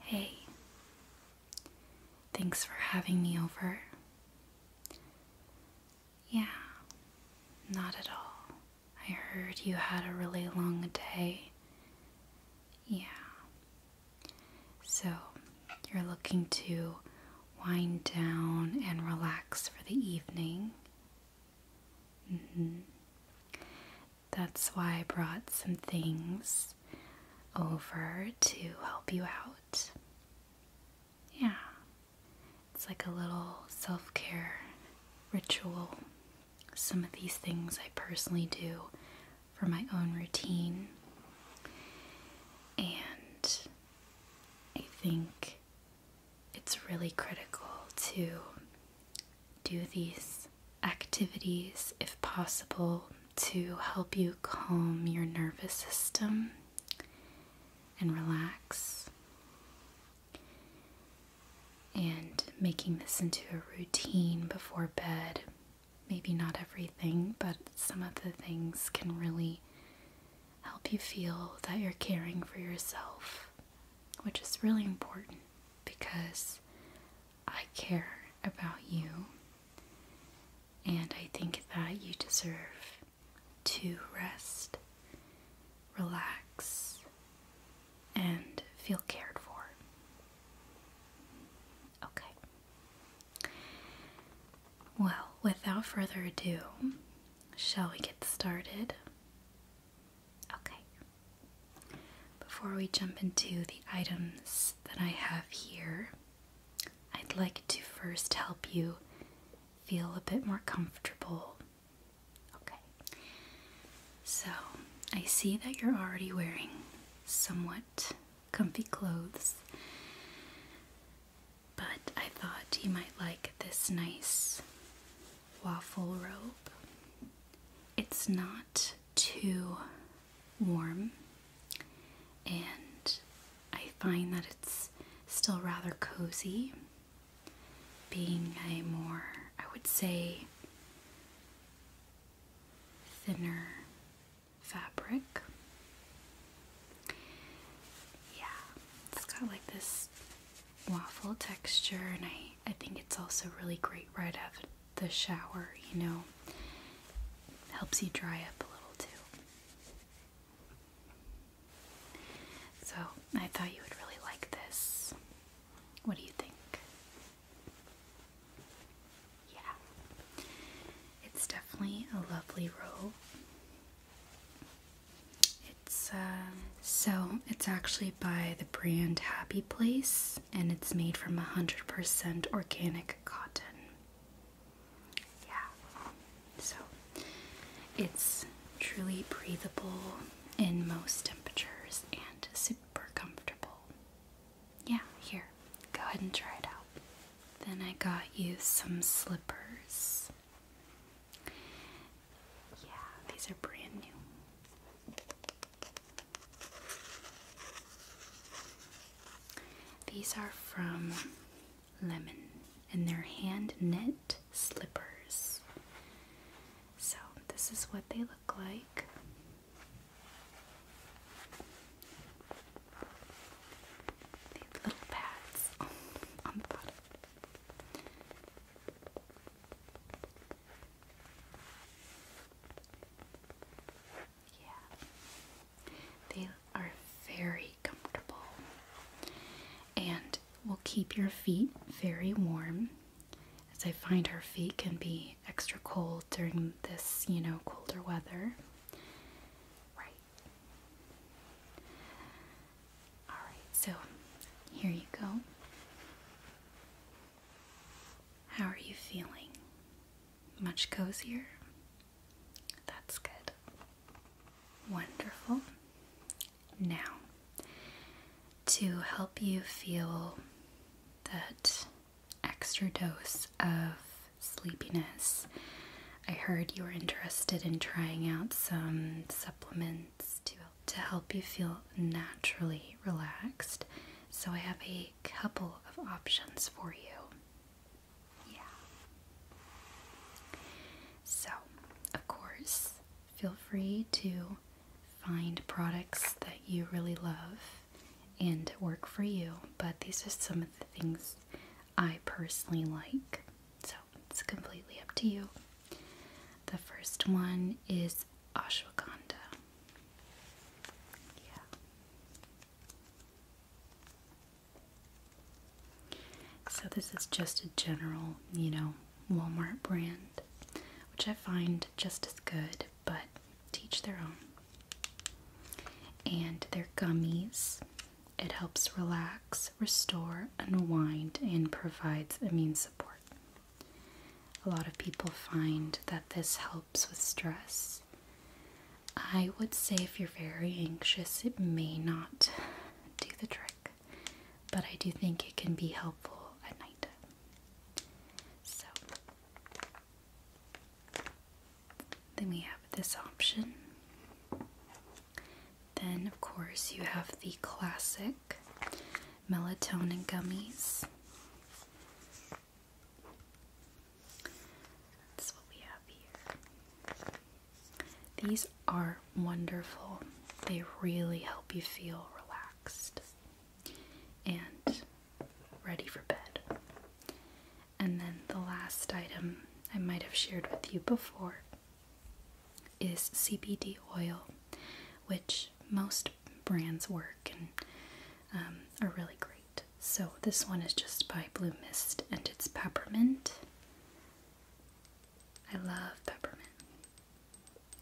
Hey, thanks for having me over. Yeah, not at all. I heard you had a really long day. Yeah. So, you're looking to wind down and relax for the evening. Mm-hmm. That's why I brought some things over to help you out. Yeah, it's like a little self care ritual. Some of these things I personally do for my own routine, and I think it's really critical to do these activities if possible to help you calm your nervous system and relax. And making this into a routine before bed, maybe not everything, but some of the things can really help you feel that you're caring for yourself which is really important because I care about you and I think that you deserve to rest, relax, and feel cared for. Okay. Well, without further ado, shall we get started? Okay. Before we jump into the items that I have here, I'd like to first help you feel a bit more comfortable. Okay. So, I see that you're already wearing somewhat comfy clothes, but I thought you might like this nice waffle robe. It's not too warm, and I find that it's still rather cozy, being a more, I would say, thinner fabric. Yeah, it's got like this waffle texture and I, I think it's also really great right after the shower, you know. Helps you dry up a little too. So I thought you would really like this. What do you think? Yeah. It's definitely a lovely robe. Uh, so it's actually by the brand Happy Place, and it's made from 100% organic cotton. Yeah, so it's truly breathable in most temperatures and super comfortable. Yeah, here, go ahead and try it out. Then I got you some slippers. Yeah, these are brand new. These are from Lemon and they're hand knit slippers. So, this is what they look like. These little pads on the bottom. Yeah. They are very comfortable and will keep your feet very warm. As I find our feet can be extra cold during this, you know, colder weather. Right. Alright, so here you go. How are you feeling? Much cozier? That's good. Wonderful. Now, to help you feel that extra dose of sleepiness, I heard you were interested in trying out some supplements to to help you feel naturally relaxed. So, I have a couple of options for you. Yeah. So, of course, feel free to find products that you really love and work for you, but these are some of the things I personally like. So, it's completely up to you. The first one is ashwagandha. Yeah. So this is just a general, you know, Walmart brand, which I find just as good, but teach their own. And their gummies. It helps relax, restore, unwind, and provides immune support. A lot of people find that this helps with stress. I would say if you're very anxious, it may not do the trick, but I do think it can be helpful at night. So, then we have this option. Then, of course, you have the classic melatonin gummies. These are wonderful. They really help you feel relaxed and ready for bed. And then the last item I might have shared with you before is CBD oil, which most brands work and um, are really great. So this one is just by Blue Mist and it's peppermint. I love peppermint.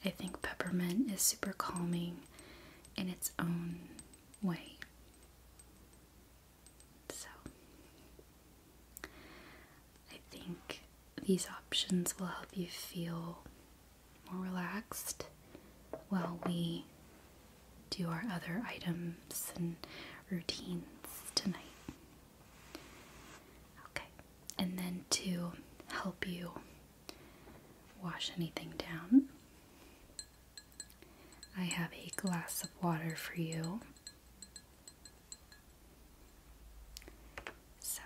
I think peppermint is super calming in its own way. So I think these options will help you feel more relaxed while we do our other items and routines tonight. Okay, and then to help you wash anything down, I have a glass of water for you. So,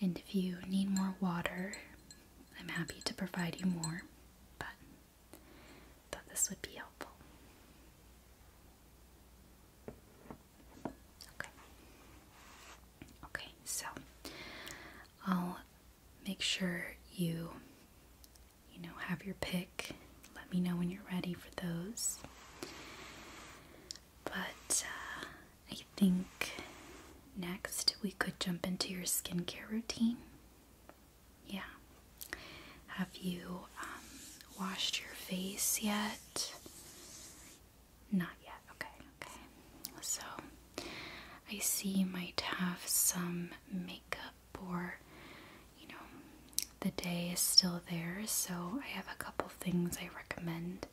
and if you need more water, I'm happy to provide you more, but I this would be helpful. Okay. Okay, so I'll make sure you you know have your pick. Let me know when you're ready for those. But uh, I think next we could jump into your skincare routine. Yeah. Have you um, washed your face yet? Not yet. Okay, okay. So I see you might have some makeup or, you know, the day is still there. So I have a couple things I recommend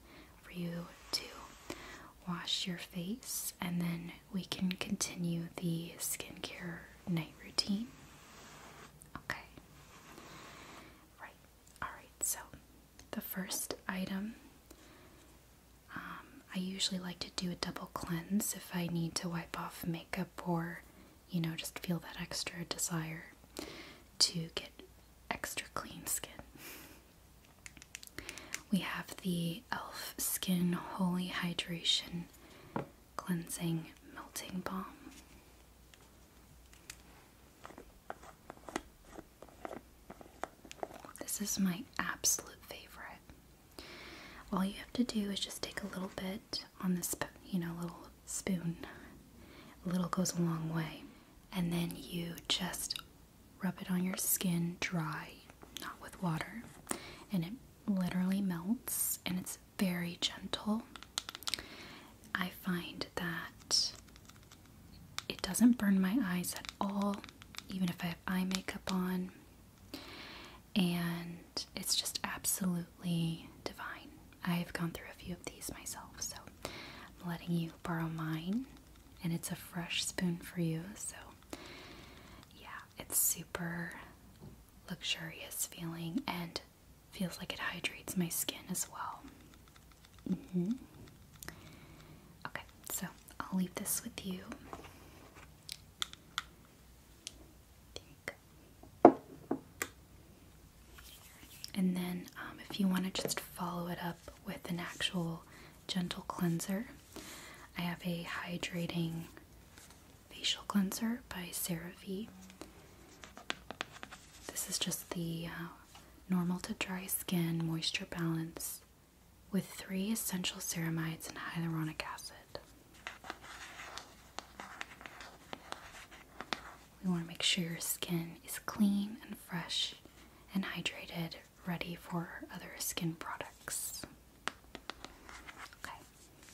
for you to wash your face, and then we can continue the skincare night routine. Okay. Right. Alright, so the first item um, I usually like to do a double cleanse if I need to wipe off makeup or, you know, just feel that extra desire to get extra clean skin. We have the e.l.f. Skin Holy Hydration Cleansing Melting Balm. This is my absolute favorite. All you have to do is just take a little bit on this, you know, little spoon. A little goes a long way. And then you just rub it on your skin dry, not with water, and it literally melts and it's very gentle. I find that it doesn't burn my eyes at all, even if I have eye makeup on, and it's just absolutely divine. I have gone through a few of these myself, so I'm letting you borrow mine and it's a fresh spoon for you. So, yeah, it's super luxurious feeling and feels like it hydrates my skin as well. Mm-hmm. Okay, so I'll leave this with you. And then, um, if you want to just follow it up with an actual gentle cleanser. I have a hydrating facial cleanser by CeraVe. This is just the uh, normal to dry skin moisture balance with three essential ceramides and hyaluronic acid. We want to make sure your skin is clean and fresh and hydrated ready for other skin products. Okay,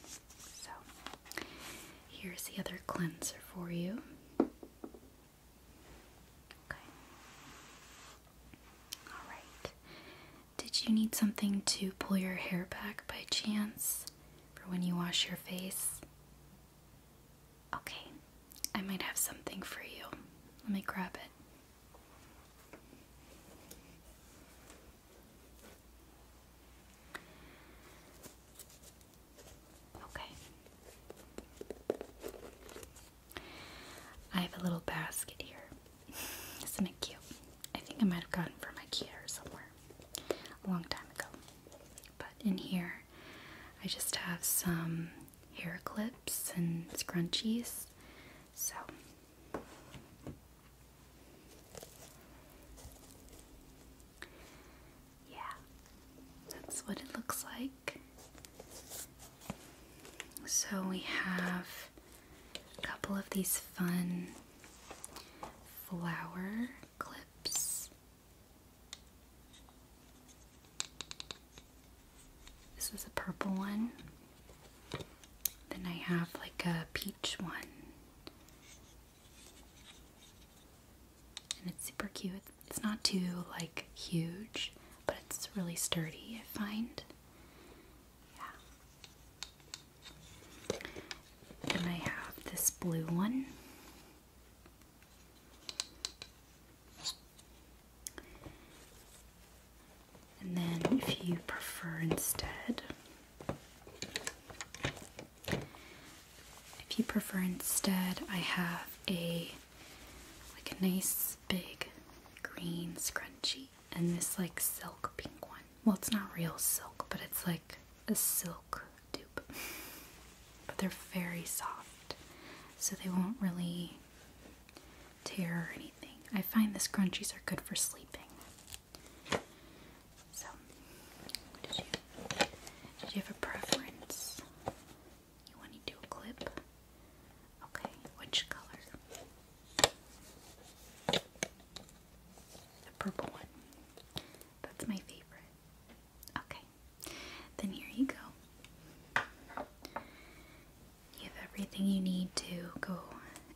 so here's the other cleanser for you. Okay. Alright. Did you need something to pull your hair back by chance for when you wash your face? Okay, I might have something for you. Let me grab it. Okay. I have a little basket here. Isn't it cute? I think I might have gotten from kid or somewhere a long time ago. But in here, I just have some hair clips and scrunchies. So yeah, that's what it looks like. So we have a couple of these fun flower clips. This is a purple one. Then I have like a peach one. And it's super cute. It's not too like huge, but it's really sturdy, I find. Yeah. And I have this blue one. And then, if you prefer instead, if you prefer instead, I have a like a nice big green scrunchie and this like silk pink one. Well, it's not real silk, but it's like a silk dupe. But they're very soft, so they won't really tear or anything. I find the scrunchies are good for sleeping. So, did you, have a preference? You want to clip? Okay, which color? The purple one. That's my favorite. Okay, then here you go. You have everything you need to go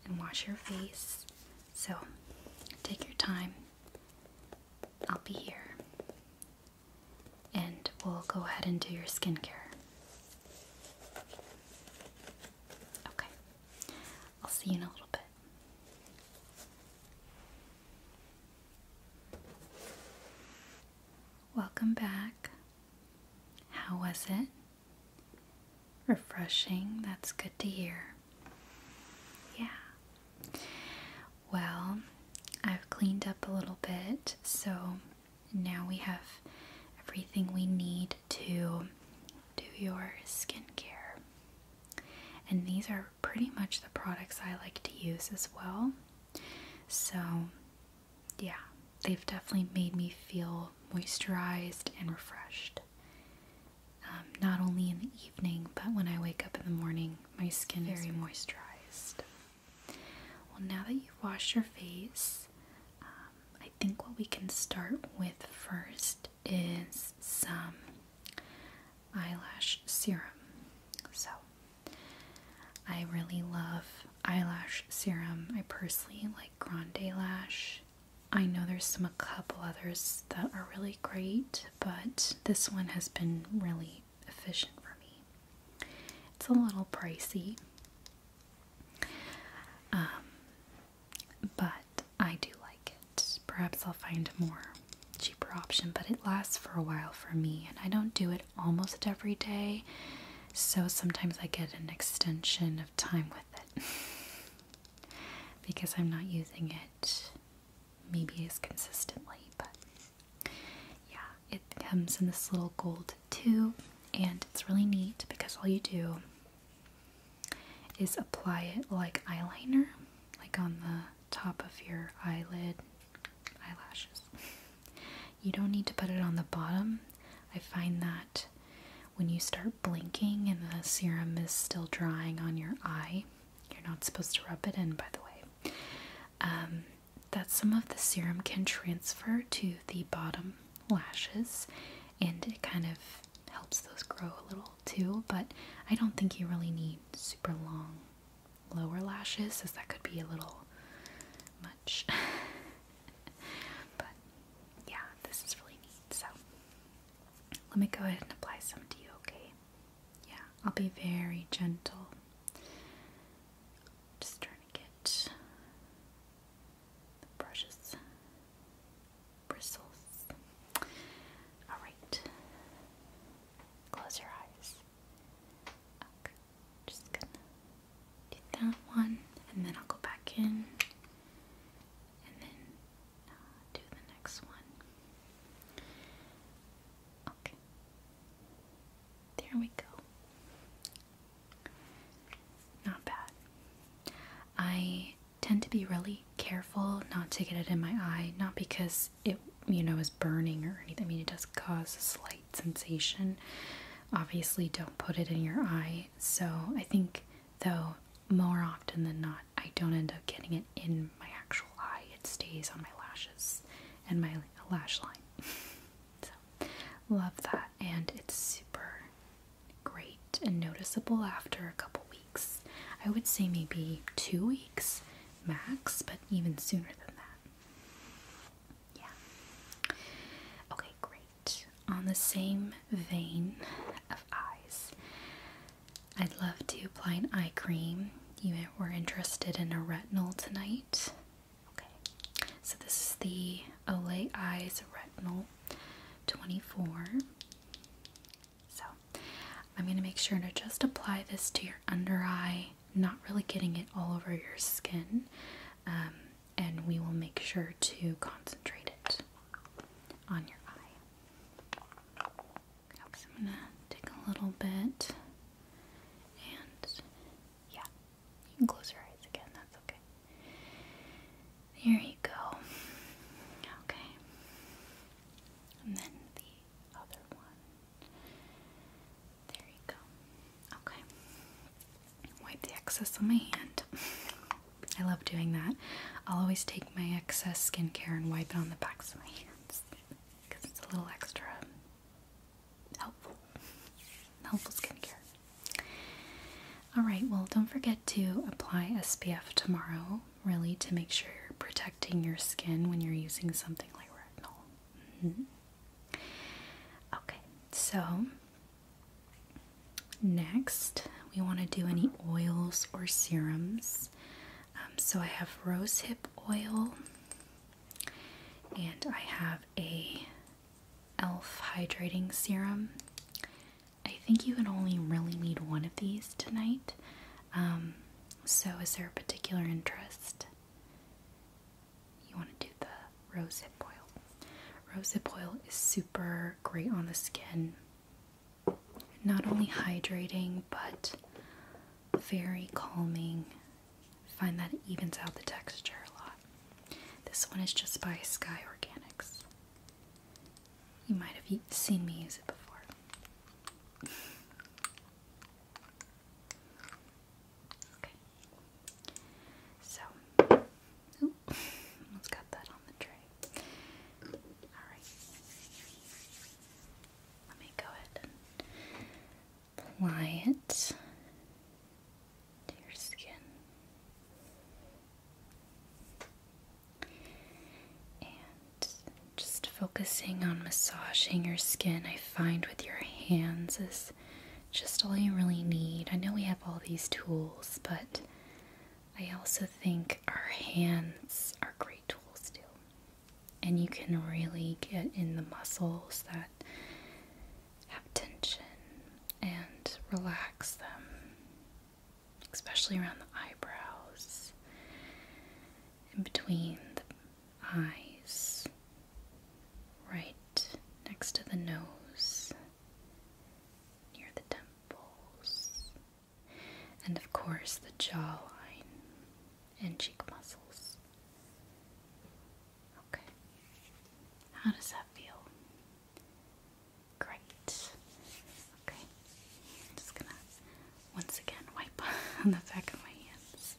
and wash your face. So take your time. I'll be here. And we'll go ahead and do your skincare. Okay. I'll see you in a little bit. Welcome back. How was it? Refreshing, that's good to hear. Yeah. Well, I've cleaned up a little bit, so now we have everything we need to do your skincare. And these are pretty much the products I like to use as well. So yeah, they've definitely made me feel moisturized and refreshed. Um, not only in the evening, but when I wake up in the morning, my skin is very moisturized. Well, now that you've washed your face, um, I think what we can start with first is some eyelash serum. So I really love eyelash serum. I personally like Grande Lash. I know there's some a couple others that are really great, but this one has been really efficient for me. It's a little pricey, um, but I do like it. Perhaps I'll find a more cheaper option, but it lasts for a while for me, and I don't do it almost every day. So sometimes I get an extension of time with it because I'm not using it maybe as consistently, but yeah, it comes in this little gold tube and it's really neat because all you do is apply it like eyeliner, like on the top of your eyelid eyelashes. You don't need to put it on the bottom. I find that when you start blinking and the serum is still drying on your eye, you're not supposed to rub it in, by the way, um, that some of the serum can transfer to the bottom lashes and it kind of helps those grow a little too. But I don't think you really need super long lower lashes, as that could be a little but yeah, this is really neat. So let me go ahead and apply some to you, okay? Yeah, I'll be very gentle. Just trying to get the brushes, bristles. Alright, close your eyes. Okay. Just gonna do that one, and then I'll go back in, and then uh, do the next one. Okay. There we go. Not bad. I tend to be really careful not to get it in my eye, not because it, you know, is burning or anything. I mean, it does cause slight sensation. Obviously, don't put it in your eye. So, I think though, more often than not, I don't end up getting it in my actual eye, it stays on my lashes and my lash line. so, love that, and it's super great and noticeable after a couple weeks. I would say maybe two weeks max, but even sooner than that. Yeah. Okay, great. On the same vein of eyes, I'd love to apply an eye cream. You were interested in a retinol tonight. Okay, so this is the Olay Eyes Retinol 24. So I'm going to make sure to just apply this to your under eye, not really getting it all over your skin. Um, and we will make sure to concentrate it on your eye. I'm gonna take a little bit and yeah, you can close your eyes again, that's okay. There you go. Okay. And then the other one. There you go. Okay. Wipe the excess on my hand. I love doing that. I'll always take my excess skincare and wipe it on the backs of my hands because it's a little extra helpful. Helpful skincare. Alright, well, don't forget to apply SPF tomorrow, really, to make sure you're protecting your skin when you're using something like retinol. Mm-hmm. Okay, so next we want to do any oils or serums. Um, so I have rosehip oil and I have a elf hydrating serum. I think you can only really need one of these tonight. Um, so, is there a particular interest? you want to do the rosehip oil. Rosehip oil is super great on the skin. Not only hydrating, but very calming. find that it evens out the texture a lot. This one is just by Sky Organics. You might have seen me use it before. okay. So, ooh, almost got that on the tray. Alright. Let me go ahead and apply it to your skin. And just focusing on massaging your skin, I find with your hands is just all you really need. I know we have all these tools, but I also think our hands are great tools too. And you can really get in the muscles that have tension and relax them, especially around the eyebrows, and between the eyes, right next to the nose, near the temples, and of course the jawline and cheek muscles. Okay, how does that feel? Great. Okay, just gonna once again wipe on the back of my hands.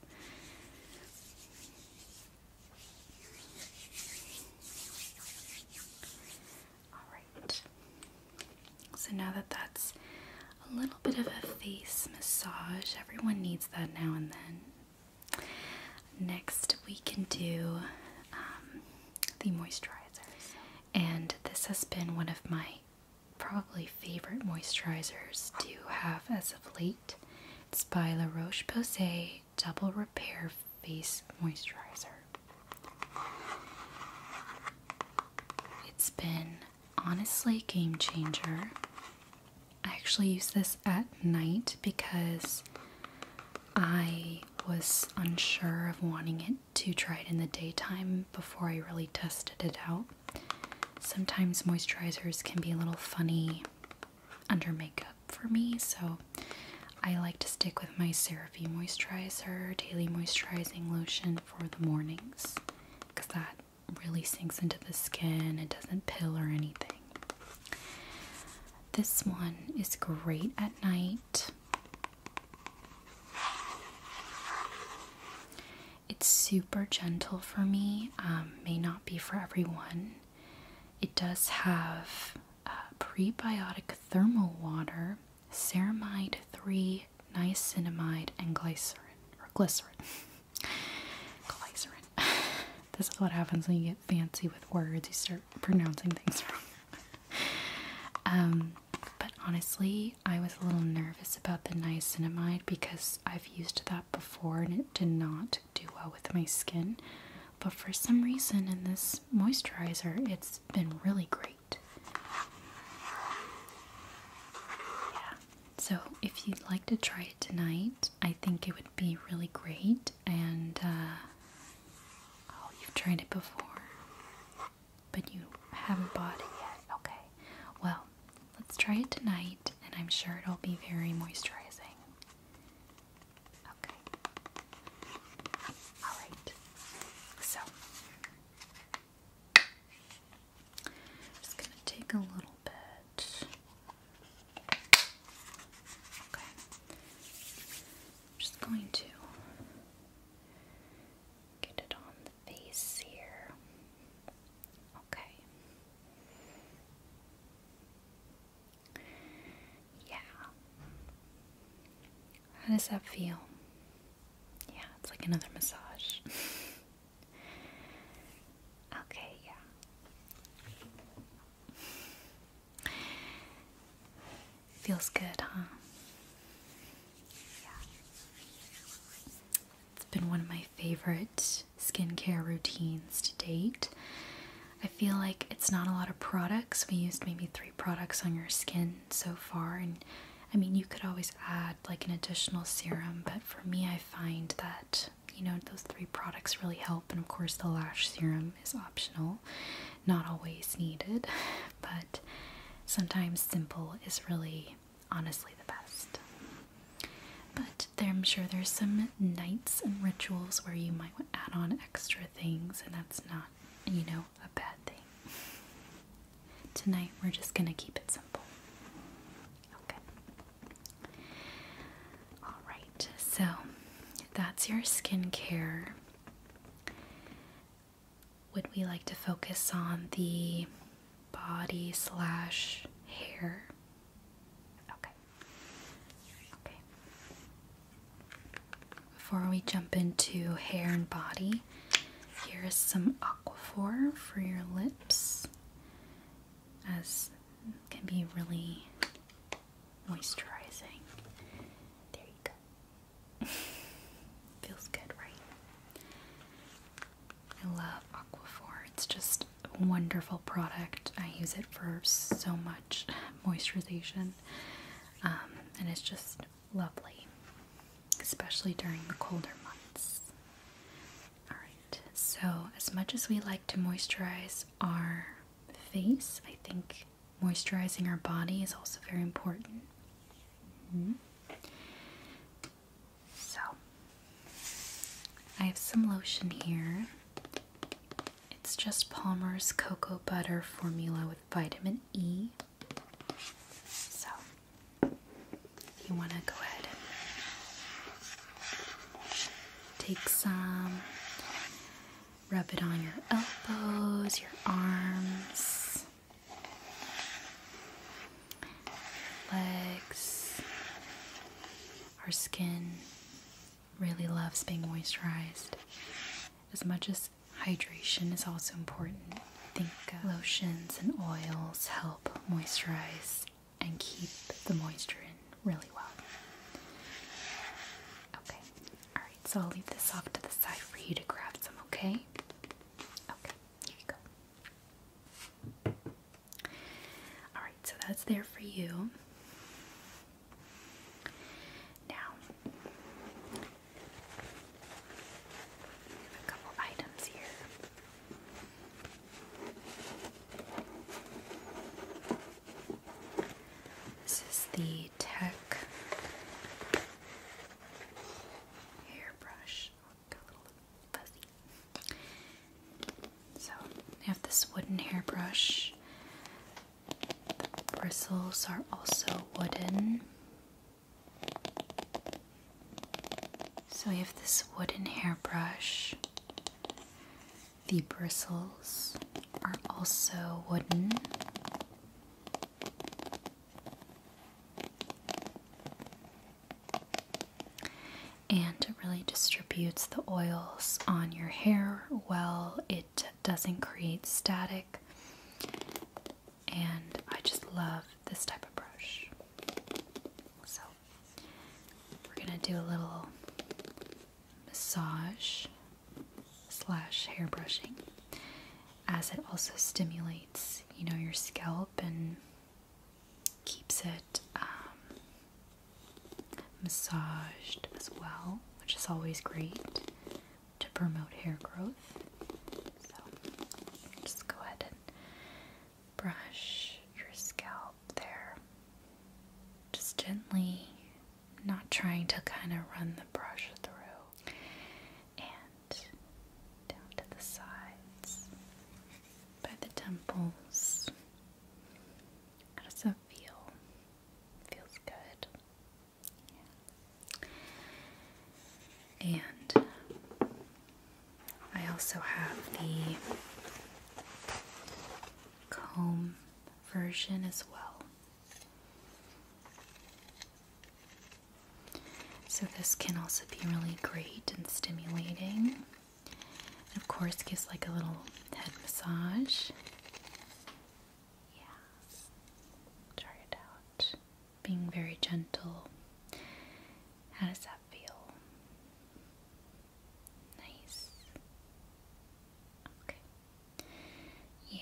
Alright, so now that that's a little bit of a face massage, everyone needs that now and then. Next, we can do um, the moisturizer, and this has been one of my probably favorite moisturizers to have as of late. It's by La Roche Posay Double Repair Face Moisturizer. It's been honestly game changer. I actually use this at night because I was unsure of wanting it to try it in the daytime before I really tested it out. Sometimes moisturizers can be a little funny under makeup for me, so I like to stick with my CeraVe moisturizer, daily moisturizing lotion for the mornings because that really sinks into the skin, it doesn't pill or anything. This one is great at night. It's super gentle for me, um, may not be for everyone. It does have uh, prebiotic thermal water, ceramide 3, niacinamide, and glycerin. Or glycerin. glycerin. this is what happens when you get fancy with words, you start pronouncing things wrong. Um, but honestly, I was a little nervous about the niacinamide because I've used that before and it did not do well with my skin. But for some reason, in this moisturizer, it's been really great. Yeah. So, if you'd like to try it tonight, I think it would be really great. And, uh, oh, you've tried it before, but you haven't bought it yet. Okay. Well, let's try it tonight, and I'm sure it'll be very moisturizing. Okay. Alright. So just gonna take a little bit. Okay. I'm just going to get it on the face here. Okay. Yeah. How does that feel? Yeah, it's like another massage. okay, yeah. Feels good, huh? Yeah. It's been one of my favorite skincare routines to date. I feel like it's not a lot of products. We used maybe three products on your skin so far, and I mean, you could always add like an additional serum, but for me, I find that you know those three products really help, and of course, the lash serum is optional, not always needed, but sometimes simple is really honestly the best. But there, I'm sure there's some nights and rituals where you might add on extra things, and that's not, you know, a bad thing. Tonight we're just gonna keep it simple. Okay. Alright, so that's your skincare. Would we like to focus on the body slash hair? Okay. Okay. Before we jump into hair and body, here is some Aquaphor for your lips, as can be really moisturizing. There you go. Feels good, right? I love Aquaphor. It's just wonderful product. I use it for so much moisturization, um, and it's just lovely, especially during the colder months. Alright, so as much as we like to moisturize our face, I think moisturizing our body is also very important. Mm-hmm. So, I have some lotion here. It's just Palmer's cocoa butter formula with vitamin E. So you want to go ahead and take some, rub it on your elbows, your arms, legs, our skin really loves being moisturized. As much as hydration is also important, I think uh, lotions and oils help moisturize and keep the moisture in really well. Okay, alright, so I'll leave this off to the side for you to grab some, okay? Okay, here you go. Alright, so that's there for you. Now, a couple items here. This is the Tech hairbrush. So I have this wooden hairbrush the Bristles are also wooden. So we have this wooden hairbrush. The bristles are also wooden. And it really distributes the oils on your hair well, it doesn't create static, and I just love this type of brush. So, we're gonna do a little massage slash hair brushing as it also stimulates you know your scalp and keeps it um, massaged as well, which is always great to promote hair growth. So just go ahead and brush your scalp there. Just gently, not trying to kind of run the brush through, and down to the sides, by the temples. How does that feel? Feels good. And I also have the comb version as well. So, this can also be really great and stimulating of course, gives like a little head massage. Yes. Try it out. Being very gentle. How does that feel? Nice. Okay. Yeah,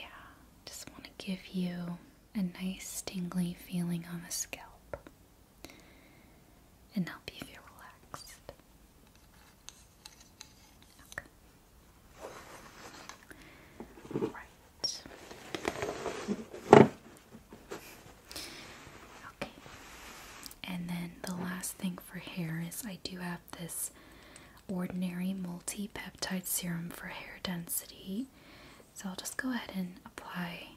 just want to give you a nice tingly feeling on the scalp and help you feel relaxed. Right. Okay. And then the last thing for hair is I do have this ordinary multi peptide serum for hair density. So I'll just go ahead and apply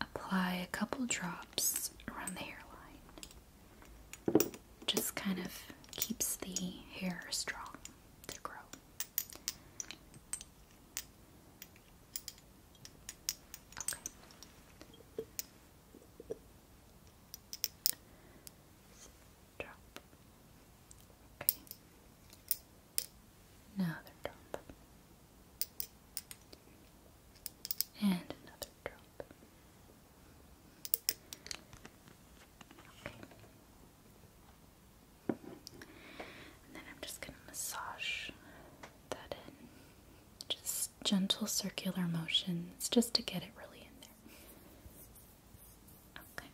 apply a couple drops around the hairline just kind of keeps the hair strong to grow. Another drop. And another and I'm just going to massage that in. Just gentle circular motions just to get it really in there. Okay.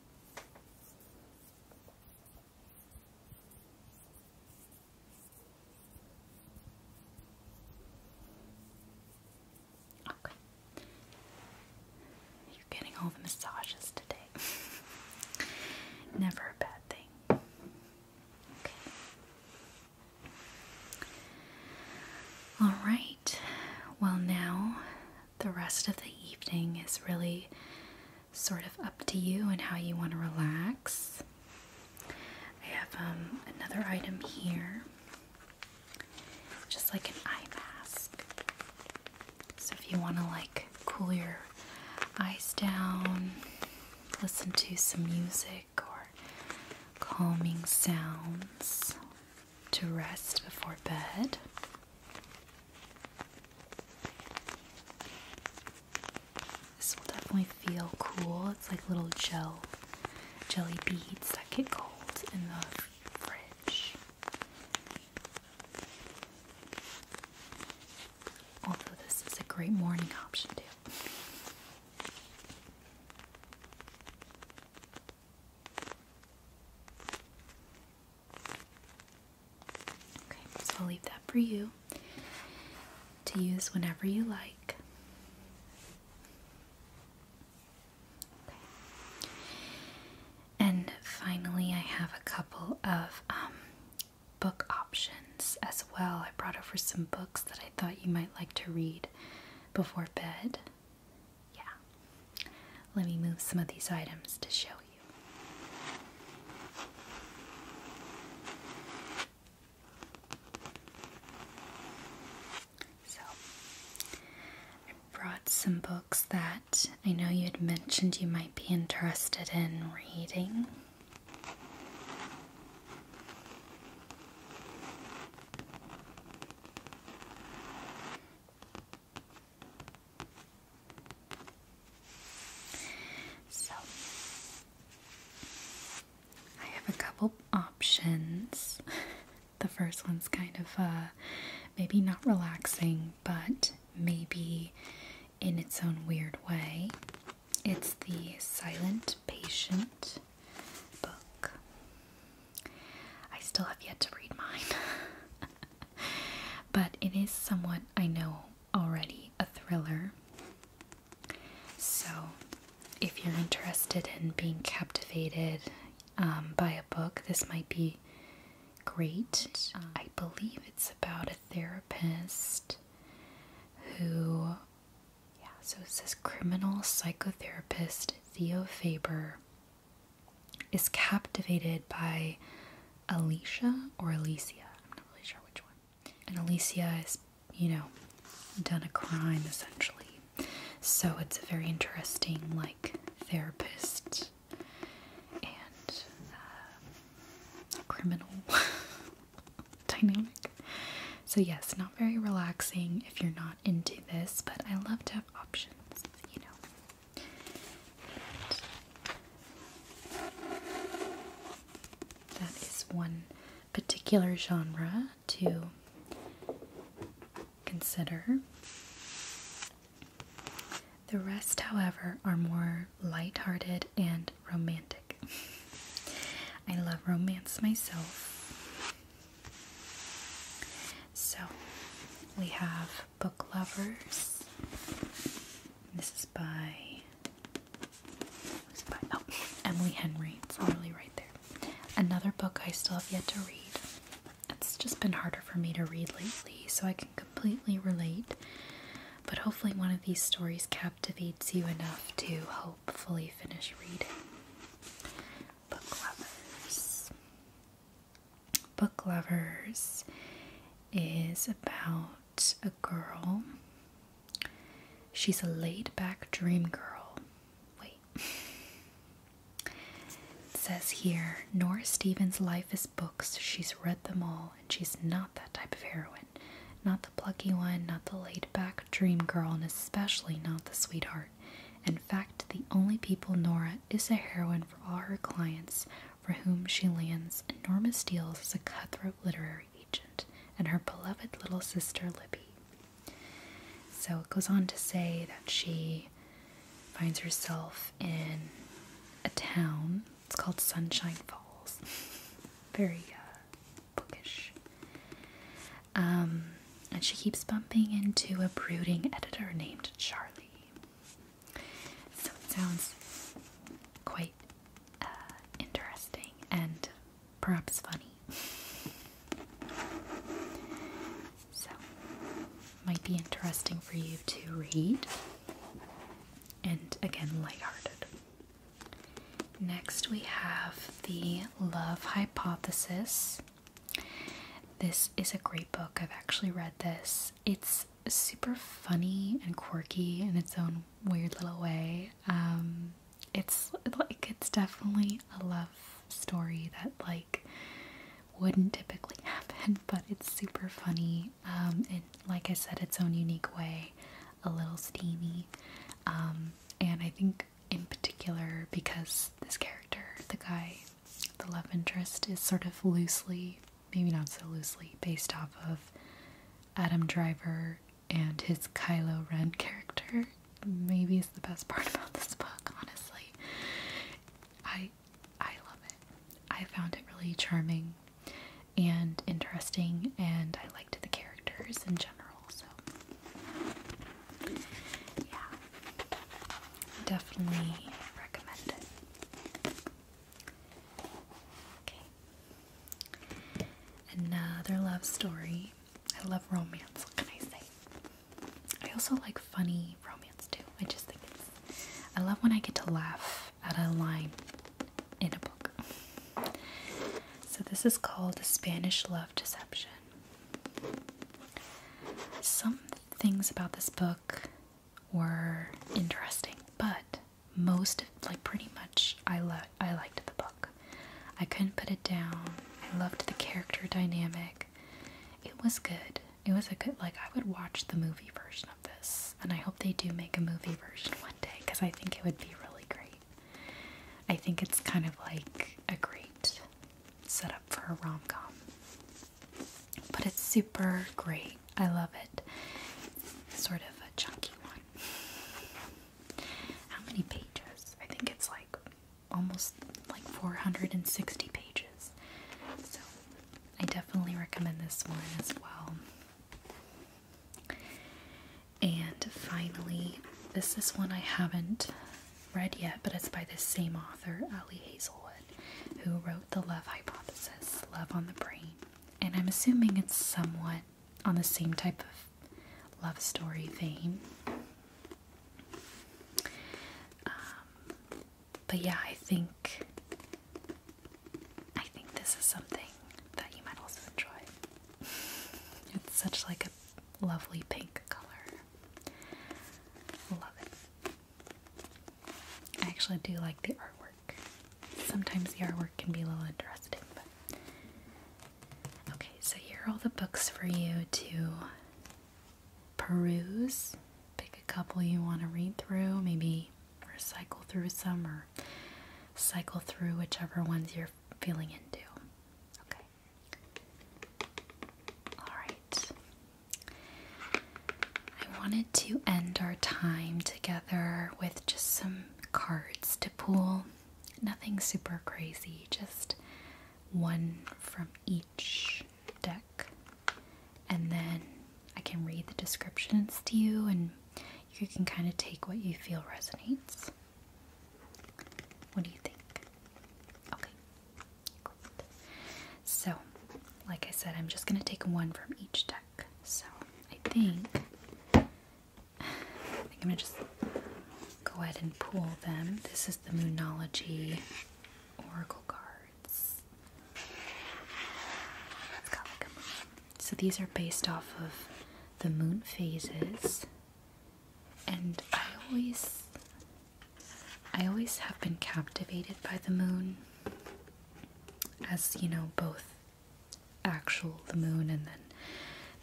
Okay. You're getting all the massages today. Never a bad thing. Okay. All right. Well, now the rest of the evening is really sort of up to you and how you want to relax. I have um, another item here just like an eye mask. So if you want to like cool your eyes down, listen to some music or calming sounds to rest before bed. This will definitely feel cool. It's like little gel jelly beads that get cold in the Although this is a great morning option too. Okay, so I'll leave that for you to use whenever you like. And finally, I have a couple of um, book options as well. I brought over some books that I thought you might like to read before bed. Yeah. Let me move some of these items to show you. So, I brought some books that I know you had mentioned you might be interested in reading. So, I have a couple options. the first one's kind of uh, maybe not relaxing, but maybe in its own weird way. It's the Silent Patient book. I still have yet to read mine, but it is somewhat, I know already, a thriller. So, if you're interested in being captivated, um, buy a book. This might be great. I believe it's about a therapist who, yeah, so it says criminal psychotherapist Theo Faber is captivated by Alicia or Alicia. I'm not really sure which one. And Alicia is, you know, done a crime essentially. So it's a very interesting, like, therapist and uh, criminal dynamic. So, yes, not very relaxing if you're not into this, but I love to have options, you know. that is one particular genre to consider. The rest, however, are more light-hearted and romantic. I love romance myself. So, we have Book Lovers. This is by, this by oh, Emily Henry. It's literally right there. Another book I still have yet to read. It's just been harder for me to read lately, so I can completely relate. But hopefully, one of these stories captivates you enough to hopefully finish reading. Book Lovers. Book Lovers is about a girl. She's a laid back dream girl. Wait, says here Nora Stevens' life is books. She's read them all, and she's not that type of heroine. Not the plucky one, not the laid back dream girl, and especially not the sweetheart. In fact, the only people Nora is a heroine for are her clients for whom she lands enormous deals as a cutthroat literary agent and her beloved little sister Libby. So it goes on to say that she finds herself in a town. It's called Sunshine Falls. Very uh, bookish. Um, and she keeps bumping into a brooding editor named Charlie. So it sounds quite uh, interesting and perhaps funny. So, might be interesting for you to read and again, light-hearted. Next, we have The Love Hypothesis. This is a great book. I've actually read this. It's super funny and quirky in its own weird little way. Um, it's like it's definitely a love story that like wouldn't typically happen, but it's super funny. Um, and like I said, its own unique way, a little steamy. Um, and I think in particular because this character, the guy, the love interest, is sort of loosely, maybe not so loosely, based off of Adam Driver and his Kylo Ren character maybe it's the best part about this book, honestly. I I love it. I found it really charming and interesting and I liked the characters in general, so yeah. Definitely recommend it. Okay. Another love story. I love romance, what can I say? I also like funny romance too. I just think it's. I love when I get to laugh at a line in a book. So this is called Spanish Love Deception. Some things about this book were interesting, but most like pretty much I lo- I liked the book. I couldn't put it down. I loved the character dynamic it was good. It was a good like I would watch the movie version of this, and I hope they do make a movie version one day because I think it would be really great. I think it's kind of like a great setup for a rom com, but it's super great. I love it. Sort of a chunky one. How many pages? I think it's like almost like 460 pages. So I definitely recommend this one as well. And finally, this is one I haven't read yet, but it's by this same author, Ali Hazelwood, who wrote The Love Hypothesis Love on the Brain. And I'm assuming it's somewhat on the same type of love story vein. Um, but yeah, I think I think this is something that you might also enjoy. it's such like a lovely pink color. Love it. I actually do like the artwork. Sometimes the artwork can be a little interesting, okay. So here are all the books for you to peruse. Pick a couple you want to read through, maybe recycle through some or cycle through whichever ones you're feeling into. Okay. All right. I wanted to end our time together with just some cards to pull. Nothing super crazy, just one from each deck, and then I can read the descriptions to you, and you can kind of take what you feel resonates. What do you think? Okay, So, like I said, I'm just going to take one from each deck. So, I think I'm going to just go ahead and pull them. This is the Moonology oracle cards. So these are based off of the moon phases. And I always I always have been captivated by the moon as, you know, both actual the moon and then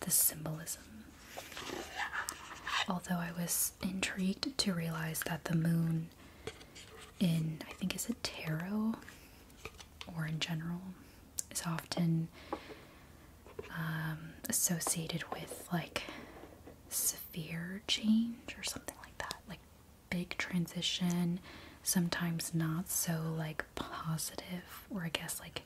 the symbolism. Although I was intrigued to realize that the moon in I think is a tarot or in general is often um, associated with like severe change or something like that, like big transition, sometimes not so like positive, or I guess like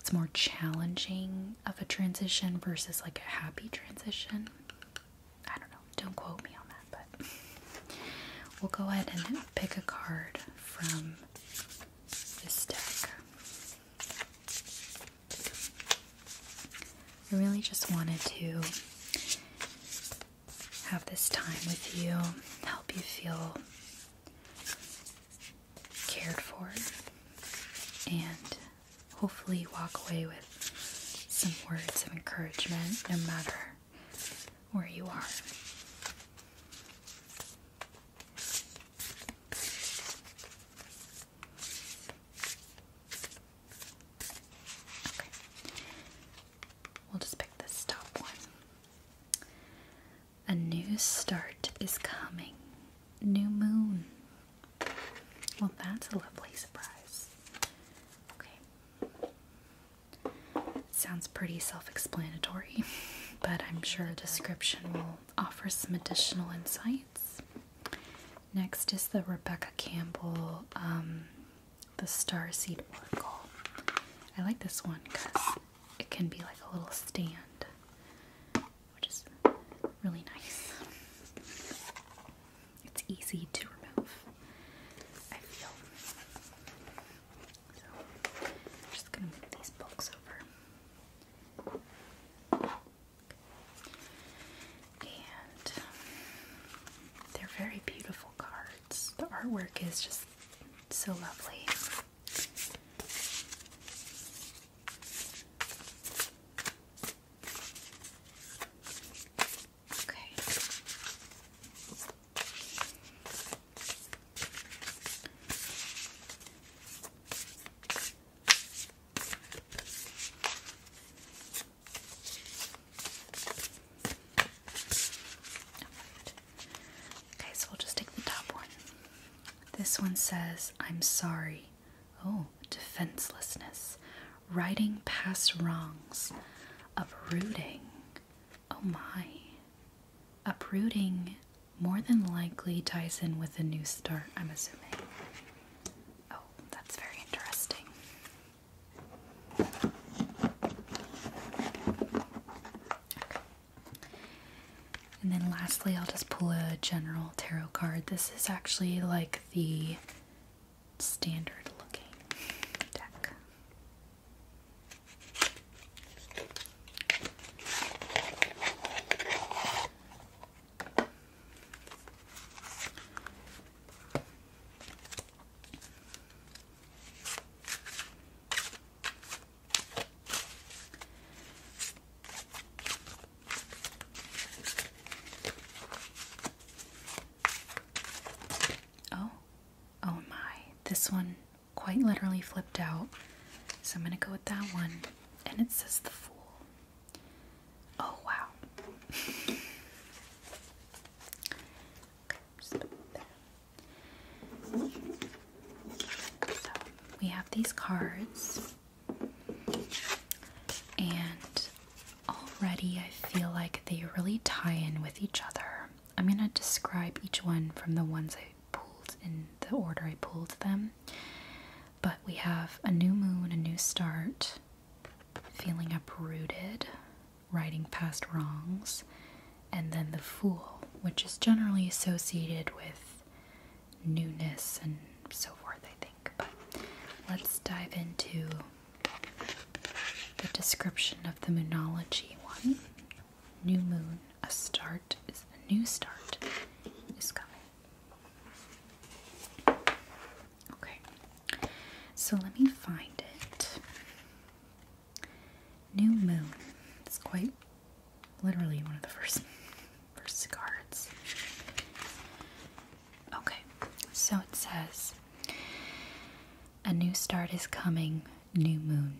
it's more challenging of a transition versus like a happy transition. I don't know. Don't quote me on that, but we'll go ahead and pick a card from this deck. I really just wanted to have this time with you, help you feel cared for, and hopefully walk away with some words of encouragement no matter where you are. Okay. We'll just pick this top one. A new start is coming. New moon, well, that's a lovely surprise. Okay. Sounds pretty self explanatory, but I'm sure a description will offer some additional insights. Next is the Rebecca Campbell, um, the Star Seed Oracle. I like this one because it can be like a little stand which is really nice. It's easy to remove, I feel. So, just gonna move these books over. And they're very beautiful cards. The artwork is just so lovely. Okay. Okay, so we'll just take the top one. This one says, I'm sorry, Oh, defenselessness, righting past wrongs, uprooting. Oh my. Uprooting more than likely ties in with a new start, I'm assuming. Oh, that's very interesting. And then lastly, I'll just pull a general tarot card. This is actually like the standard looking deck. Oh, oh my. This one quite literally flipped out. So I'm going to go with that one. And it says The Fool. Oh, wow. okay, just put it there. So we have these cards. And already I feel like they really tie in with each other. I'm going to describe each one from the ones I pulled in the order I pulled them. But we have a new moon, a new start, feeling uprooted, riding past wrongs, and then the fool, which is generally associated with newness and so forth, I think. But let's dive into the description of the moonology one. New moon, a start is a new start is coming. Okay, so let me find it. New moon. It's quite literally one of the first first cards. Okay, so it says A new start is coming, new moon.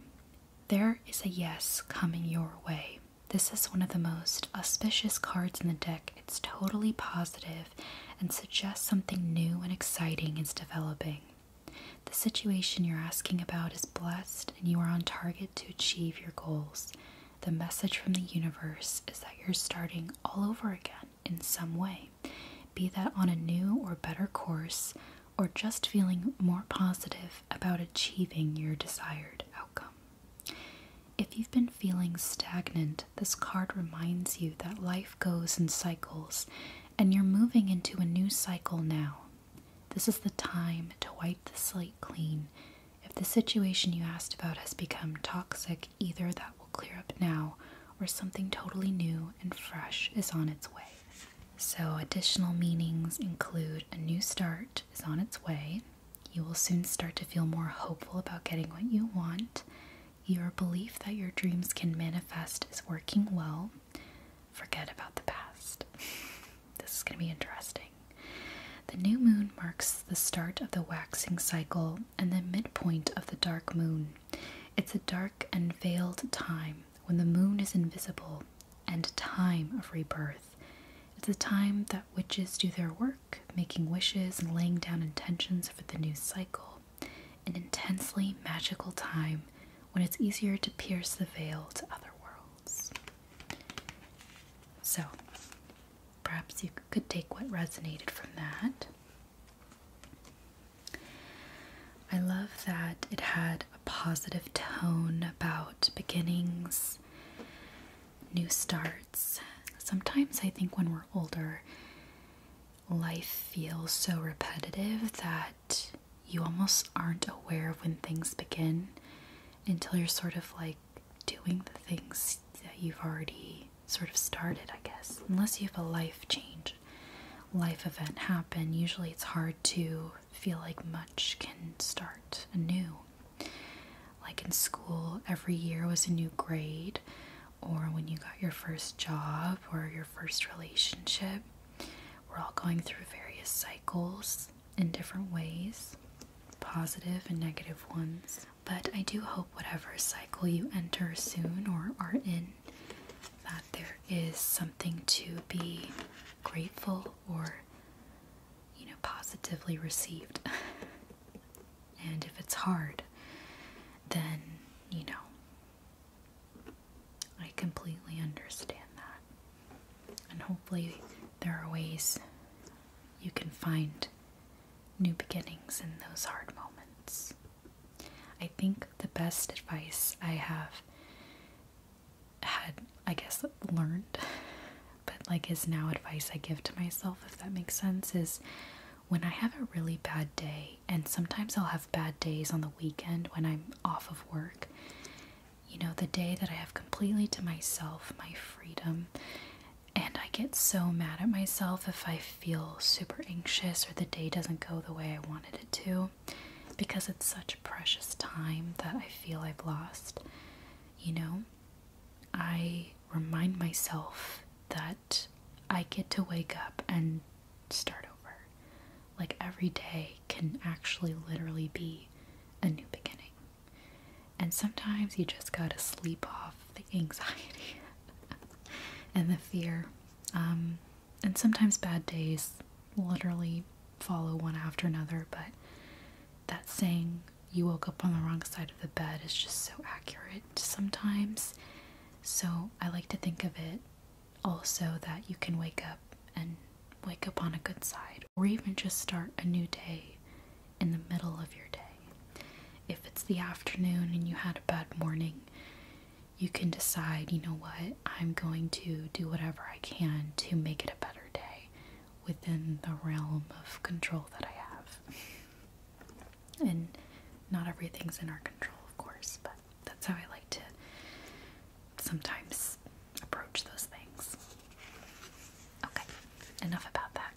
There is a yes coming your way. This is one of the most auspicious cards in the deck. It's totally positive and suggests something new and exciting is developing. The situation you're asking about is blessed and you are on target to achieve your goals. The message from the universe is that you're starting all over again in some way, be that on a new or better course, or just feeling more positive about achieving your desired outcome. If you've been feeling stagnant, this card reminds you that life goes in cycles and you're moving into a new cycle now. This is the time to wipe the slate clean if the situation you asked about has become toxic, either that will clear up now or something totally new and fresh is on its way. So, additional meanings include a new start is on its way. You will soon start to feel more hopeful about getting what you want. Your belief that your dreams can manifest is working well. Forget about the past. This is going to be interesting. The new moon marks the start of the waxing cycle, and the midpoint of the dark moon. It's a dark and veiled time when the moon is invisible and time of rebirth. It's a time that witches do their work, making wishes and laying down intentions for the new cycle. An intensely magical time when it's easier to pierce the veil to other worlds. So, Perhaps you could take what resonated from that. I love that it had a positive tone about beginnings, new starts. Sometimes I think when we're older, life feels so repetitive that you almost aren't aware of when things begin until you're sort of like doing the things that you've already sort of started, I guess. Unless you have a life change, life event happen, usually it's hard to feel like much can start anew. Like in school, every year was a new grade, or when you got your first job or your first relationship. We're all going through various cycles in different ways, positive and negative ones. But I do hope whatever cycle you enter soon or are in, that there is something to be grateful or, you know, positively received. and if it's hard, then, you know, I completely understand that. And hopefully, there are ways you can find new beginnings in those hard moments. I think the best advice I have had, I guess, learned, but like is now advice I give to myself, if that makes sense, is when I have a really bad day, and sometimes I'll have bad days on the weekend when I'm off of work, you know, the day that I have completely to myself, my freedom, and I get so mad at myself if I feel super anxious or the day doesn't go the way I wanted it to because it's such precious time that I feel I've lost. You know, I remind myself that I get to wake up and start over. Like every day can actually literally be a new beginning and sometimes you just gotta sleep off the anxiety and the fear. Um, and sometimes bad days literally follow one after another, but that saying, you woke up on the wrong side of the bed, is just so accurate sometimes. So I like to think of it also that you can wake up and wake up on a good side, or even just start a new day in the middle of your day. If it's the afternoon and you had a bad morning, you can decide, you know what, I'm going to do whatever I can to make it a better day within the realm of control that I have. And not everything's in our control, of course, but that's how I like to sometimes approach those things. Okay enough about that.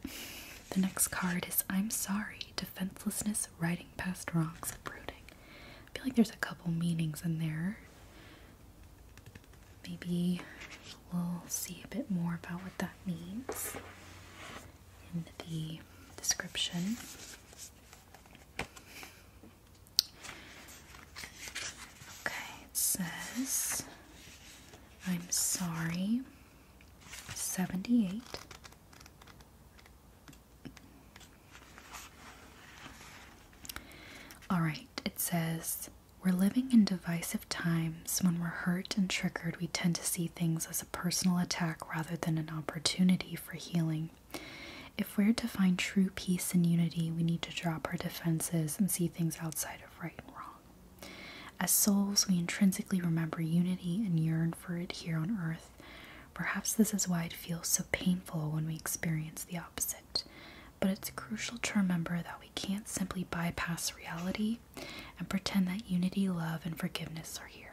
The next card is I'm Sorry, Defenselessness, Riding Past Wrongs, Brooding. I feel like there's a couple meanings in there. Maybe we'll see a bit more about what that means in the description. Okay, it says, I'm sorry. 78 all right it says we're living in divisive times when we're hurt and triggered we tend to see things as a personal attack rather than an opportunity for healing if we're to find true peace and unity we need to drop our defenses and see things outside of right and wrong as souls, we intrinsically remember unity and yearn for it here on earth. Perhaps this is why it feels so painful when we experience the opposite. But it's crucial to remember that we can't simply bypass reality and pretend that unity, love, and forgiveness are here.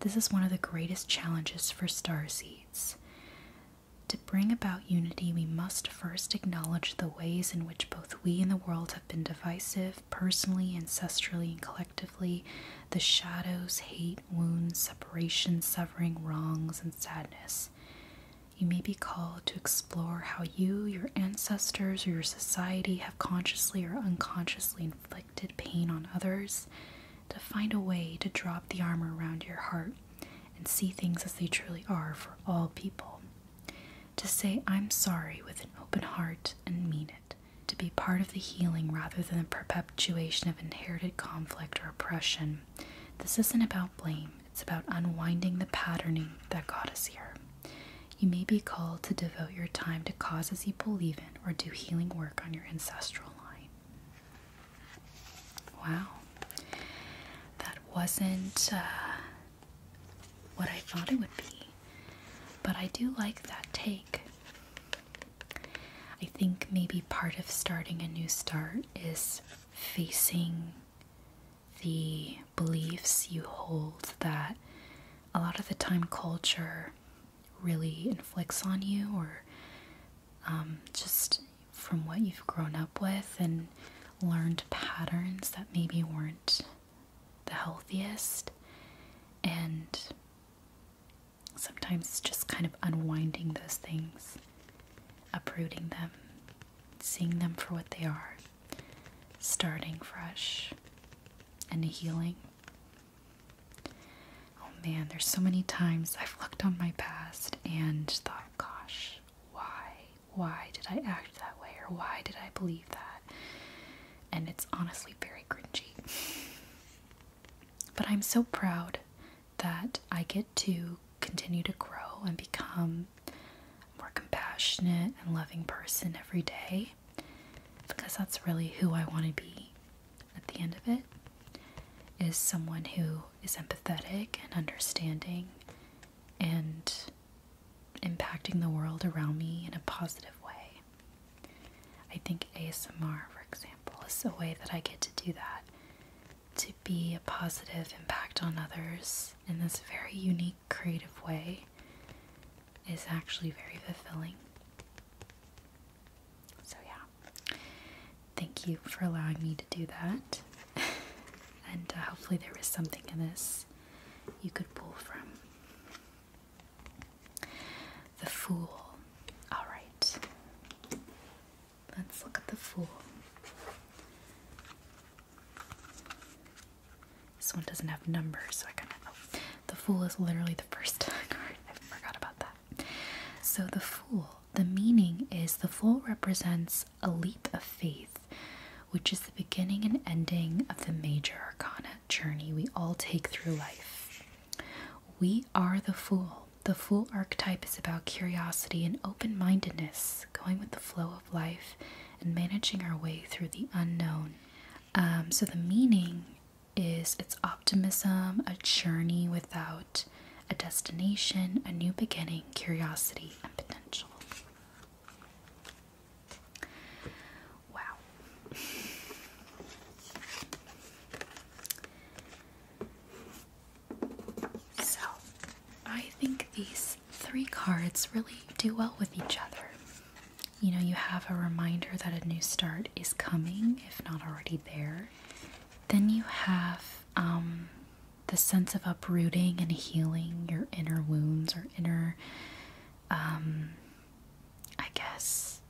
This is one of the greatest challenges for star seeds. To bring about unity, we must first acknowledge the ways in which both we and the world have been divisive personally, ancestrally, and collectively. The shadows, hate, wounds, separation, severing, wrongs, and sadness. You may be called to explore how you, your ancestors, or your society have consciously or unconsciously inflicted pain on others, to find a way to drop the armor around your heart and see things as they truly are for all people. To say I'm sorry with an open heart and mean it, to be part of the healing rather than the perpetuation of inherited conflict or oppression. This isn't about blame, it's about unwinding the patterning that got us here. You may be called to devote your time to causes you believe in or do healing work on your ancestral line. Wow. That wasn't uh, what I thought it would be. But I do like that take. I think maybe part of starting a new start is facing the beliefs you hold that a lot of the time culture really inflicts on you, or um, just from what you've grown up with and learned patterns that maybe weren't the healthiest and sometimes just kind of unwinding those things, uprooting them, seeing them for what they are, starting fresh and healing. Oh man, there's so many times I've looked on my past and thought, gosh, why? Why did I act that way? Or why did I believe that? And it's honestly very cringy. But I'm so proud that I get to continue to grow and become a more compassionate and loving person every day because that's really who I want to be at the end of it is someone who is empathetic and understanding and impacting the world around me in a positive way. I think ASMR, for example, is a way that I get to do that to be a positive impact on others in this very unique, creative way is actually very fulfilling. So, yeah, thank you for allowing me to do that. and uh, hopefully, there is something in this you could pull from. The Fool. All right. Let's look at The Fool. This one doesn't have numbers, so I kind of. Oh. the Fool is literally the first card. I forgot about that. So, The Fool, the meaning is the Fool represents a leap of faith which is the beginning and ending of the major arcana journey we all take through life. We are the fool. The fool archetype is about curiosity and open mindedness, going with the flow of life and managing our way through the unknown. Um, so, the meaning is it's optimism, a journey without a destination, a new beginning, curiosity, and potential. Wow. So, I think these three cards really do well with each other. You know, you have a reminder that a new start is coming, if not already there. Then you have um, the sense of uprooting and healing your inner wounds or inner um, I guess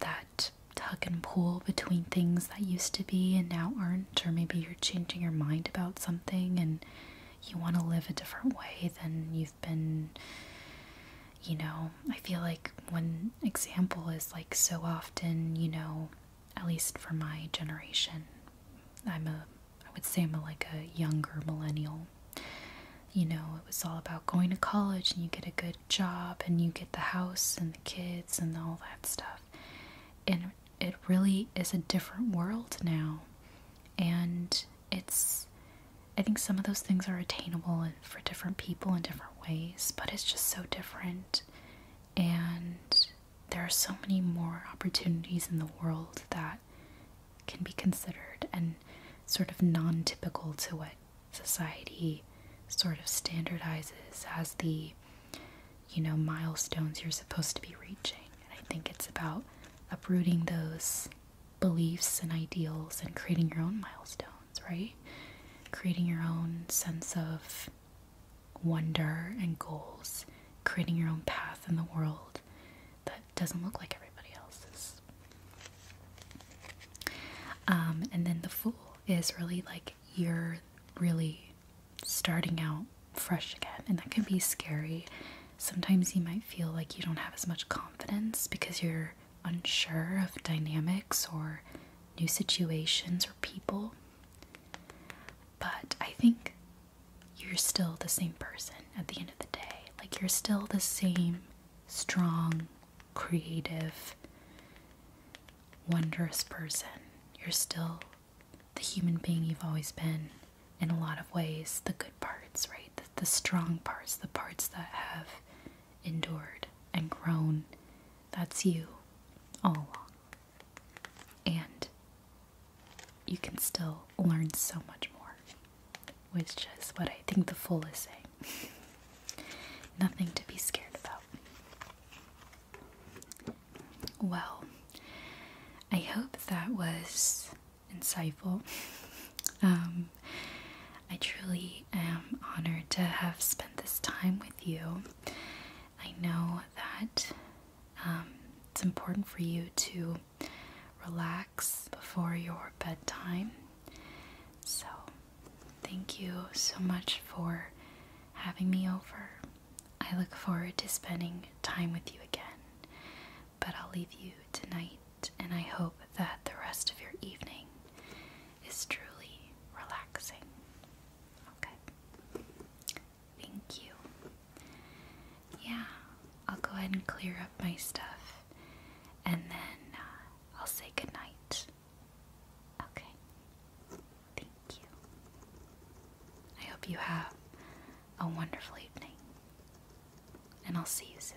that tug and pull between things that used to be and now aren't, or maybe you're changing your mind about something and you want to live a different way than you've been. You know, I feel like one example is like so often, you know, at least for my generation, I'm a I would say I'm like a younger millennial. You know, it was all about going to college and you get a good job and you get the house and the kids and all that stuff. And it really is a different world now. And it's, I think some of those things are attainable for different people in different ways, but it's just so different. And there are so many more opportunities in the world that can be considered and sort of non typical to what society sort of standardizes as the you know milestones you're supposed to be reaching and i think it's about uprooting those beliefs and ideals and creating your own milestones right creating your own sense of wonder and goals creating your own path in the world that doesn't look like everybody else's. Um, and then the Fool is really like you're really starting out fresh again, and that can be scary. Sometimes you might feel like you don't have as much confidence because you're unsure of dynamics or new situations or people. But I think you're still the same person at the end the day. Like you're still the same strong, creative, wondrous person. You're still the human being you've always been in a lot of ways. The good parts, right? the strong parts, the parts that have endured and grown. That's you all along. And you can still learn so much more which is what I think the fool is saying. Nothing to be scared about. Well, I hope that was insightful. Um, I truly am honored to have spent this time with you. I know that um, it's important for you to relax before your bedtime. So, thank you so much for having me over. I look forward to spending time with you again. But I'll leave you tonight, and I hope that the rest of your evening is truly relaxing. Okay. Thank you. Yeah, I'll go ahead and clear up my stuff and then uh, I'll say goodnight. Okay. Thank you. I hope you have a wonderful evening. And I'll see you soon.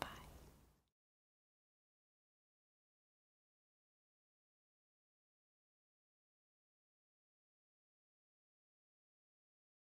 Bye.